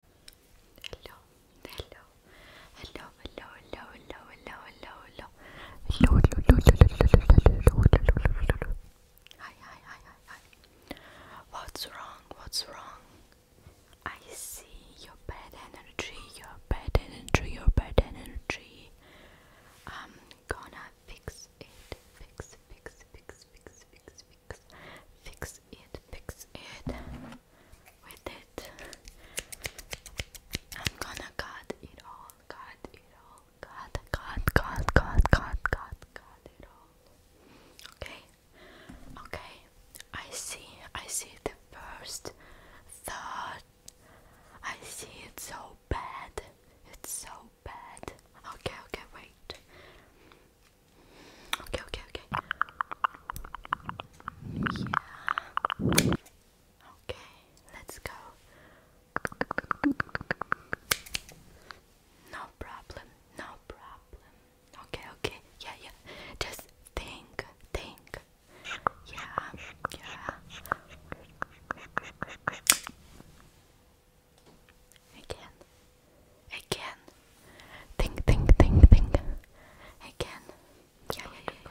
Hello, hello, hello, hello, hello, hello, hello, hello, hello, hello, hello, hello, hello, Hi, hi, hi, hi, hi. What's wrong? What's wrong? I see your bad energy, your bad energy, your bad energy. I'm gonna fix it. Fix, fix, fix, fix, fix, fix, it, fix it with it. I'm gonna cut it all, cut it all, cut, cut, cut, cut, cut, cut, cut it all. Okay, okay. I see, I see the first thought. I see it's so bad. It's so bad. Okay, okay, wait. Okay, okay, okay. Yeah. Okay, let's go. No problem, no problem. Okay, okay, yeah, yeah. Just think, think. Yeah, yeah. Again. Again. Think, think, think, think. Again. Yeah, yeah,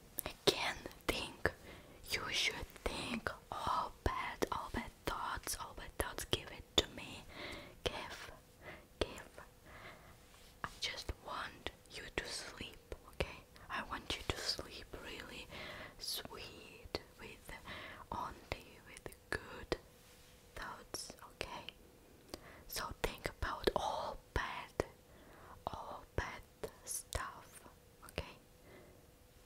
Again, think. You should think. All bad, all bad thoughts, all bad thoughts. Give it to me. Give, give. I just want you to sleep, okay? I want you to sleep really sweet, with only with good thoughts, okay? So think about all bad, all bad the stuff, okay?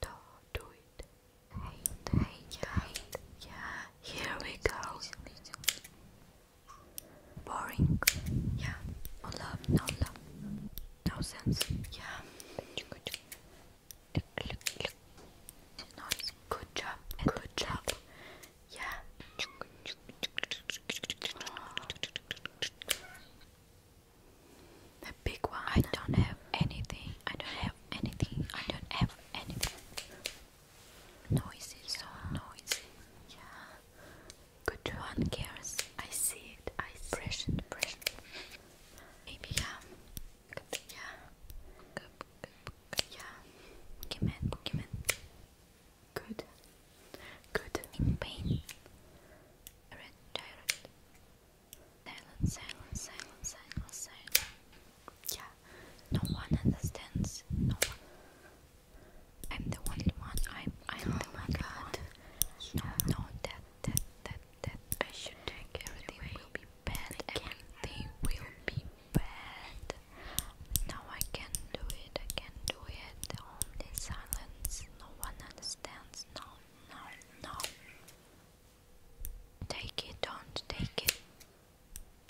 do do it. Hate, hate, yeah. Yeah, here we go. Boring. Yeah. No love, no love. No sense. Yeah. Good job. Good job. Yeah. The big one. I don't have anything. I don't have anything. I don't have anything. Noisy, yeah. so oh, noisy. Yeah. Good one cares. I see it. I see Pressure, it. pressure. Maybe yeah. Um, good. Yeah. Good. Good. Good. Yeah. Boogeyman, boogeyman. Good. Good. In pain. Silence, silence, silence, silence, silence. Yeah, no one understands. No one. I'm the only one. I'm, I'm the oh only God. No, no, that, that, that, that. I should take everything away. will be bad. Everything will be bad. Now I can do it. I can do it. Only silence. No one understands. No, no, no. Take it, don't take it.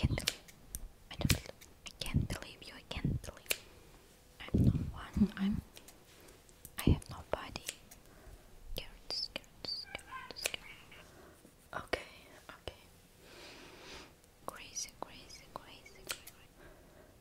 I can't believe. I I can't believe you. I can't believe. I'm not one. Mm-hmm. I'm. I have nobody. Carrots, carrots, carrots, carrots. Okay, okay. Crazy, crazy, crazy, crazy.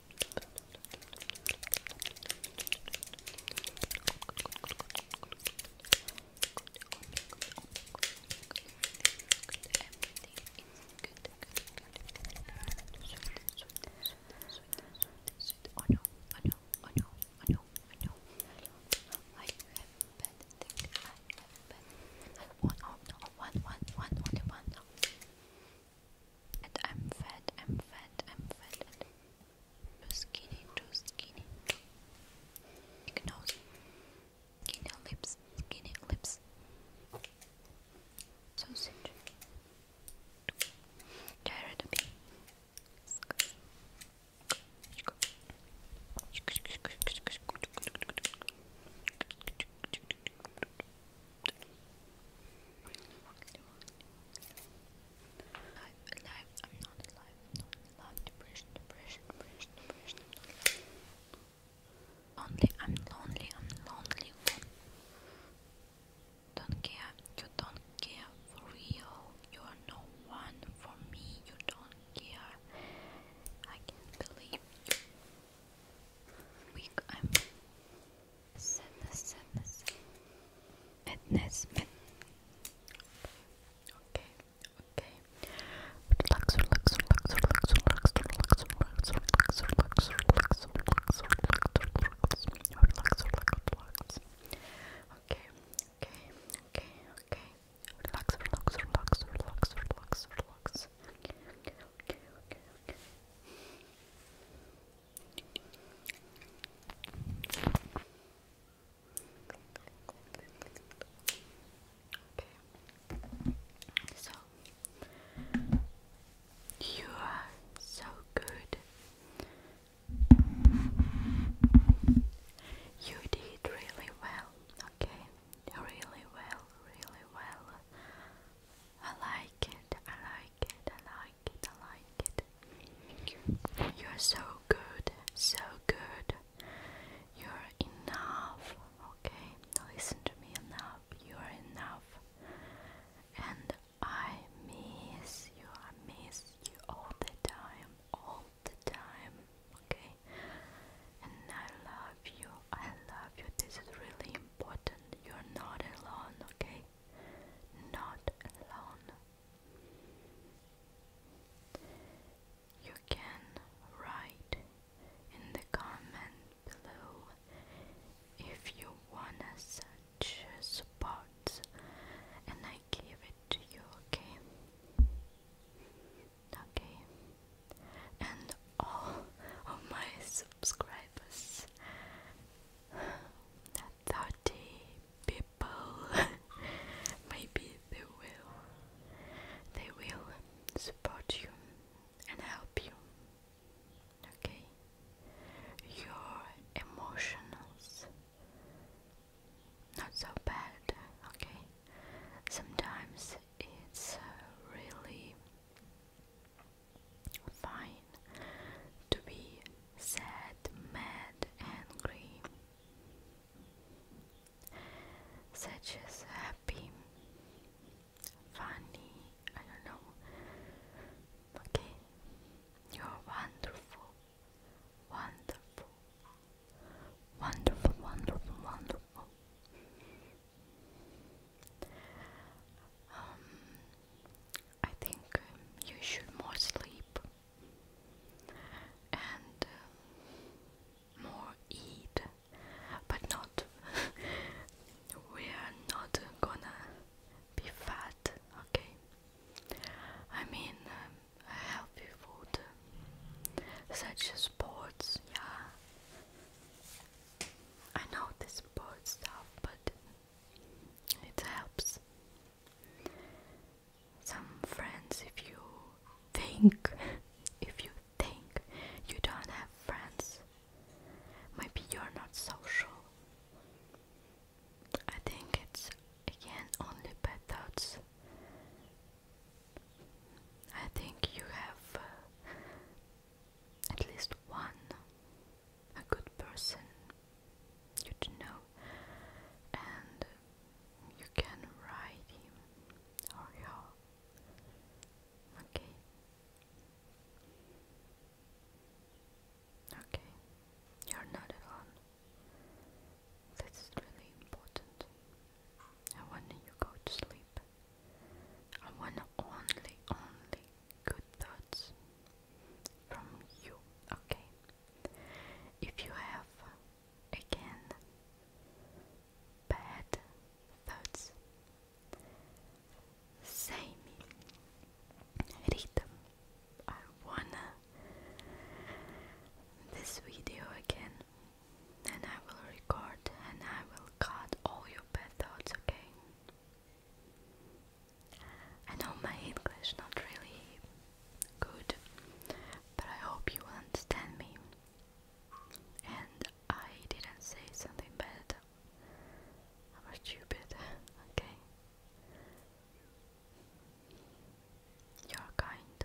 I have one, oh no, one, one, one, only one. And I'm fat, I'm fat, I'm fat, and too skinny, too skinny. Big nose, skinny lips, skinny lips. Sausage. Tired of me. I'm alive, I'm not alive, I'm not alive. Lonely, I'm lonely, I'm lonely Don't care, you don't care for real. You're no one for me, you don't care. I can't believe you we I'm sadness, sadness, madness, madness. Okay, okay. Relax, relax, relax, relax, relax, relax, relax, relax, relax, relax, relax, relax, relax, relax, relax. Okay, okay, okay, okay. Relax, relax, relax, relax, relax, relax. okay, okay, okay, okay Okay. So you are so good. You did really well, okay? Really well, really well. I like it, I like it, I like it, I like it. you. You're so good, so good. You're enough, okay? Listen to me enough. You're enough. And I miss you, I miss you all the time, all the time, okay? And I love you, I love you. This is really important. You're not alone, okay? Not alone. You can write in the comment below if you want such support and I give it to you, okay? Okay. And all of my subscribers. Thirty people. Maybe they will. They will support you and help you. Okay. Your emotions. Not so bad, okay? Sometimes it's uh, really Fine. To be sad, mad, angry. Such as happy, funny, I don't know. Okay. You're wonderful. Wonderful. Wonderful, wonderful, wonderful. Um, I think um, you should more sleep and uh, more eat, but not. we are not gonna be fat, okay? I mean, um, healthy food, such as sports, yeah. I know this support stuff, but it helps. Some friends, if you think, if you think you don't have friends, maybe you're not social. I think it's again only bad thoughts. I think you have uh, at least one a good person you to know and you can ride him or her okay okay you're not alone that's really important and when you go to sleep I want only, only good thoughts from you, okay? If you have, again, bad thoughts, say me, read them. I wanna this video again, and I will record and I will cut all your bad thoughts, okay? I know my English not really good, but I hope you will understand me. And I didn't say something bad. I was stupid, okay? You're kind.